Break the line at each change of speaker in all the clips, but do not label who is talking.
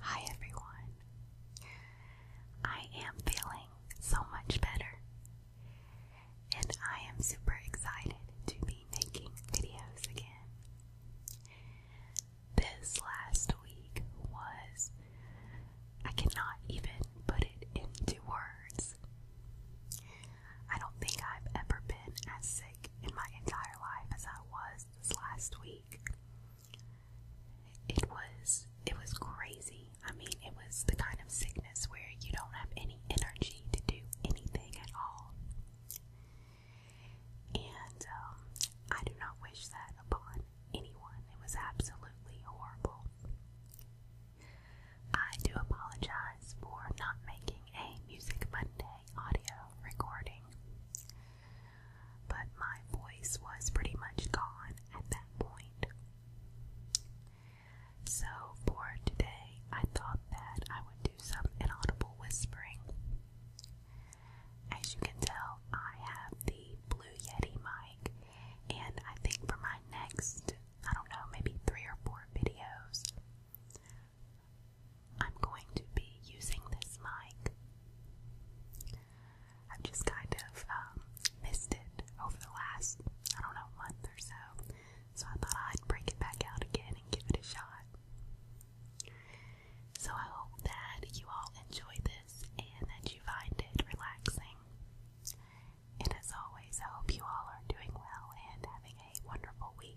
Hi everyone. I am feeling so much better. And I am super excited to be making videos again. This last week was I cannot even put it into words. I don't think I've ever been as sick in my entire life as I was this last week. It was it was crazy. I mean, it was the kind of sickness where you don't have any energy to do anything at all. And um, I do not wish that upon anyone. It was absolutely horrible. I do apologize for not making a Music Monday audio recording, but my voice was pretty much gone at that point. So, for today, I thought that I would do some inaudible whispering. As you can tell, I have the Blue Yeti mic, and I think for my next I don't know, maybe three or four videos. I'm going to be using this mic. I've just kind of um, missed it over the last, I don't know, month or so. So I thought I'd break it back out again and give it a shot. So I hope that you all enjoy this and that you find it relaxing. And as always, I hope you all are doing well and having a wonderful week.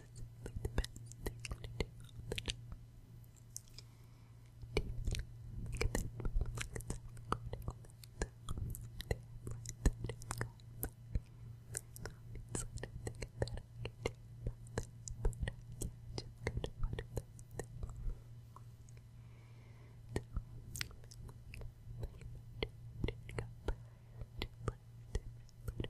simply the best thing to do on the job. Do you feel like this movie like it's self-critical? They have like that just got back. Obviously, I don't think that I can do about this, but uh, yeah, just kind of one of those things. So, I feel like my mood did go back to like differently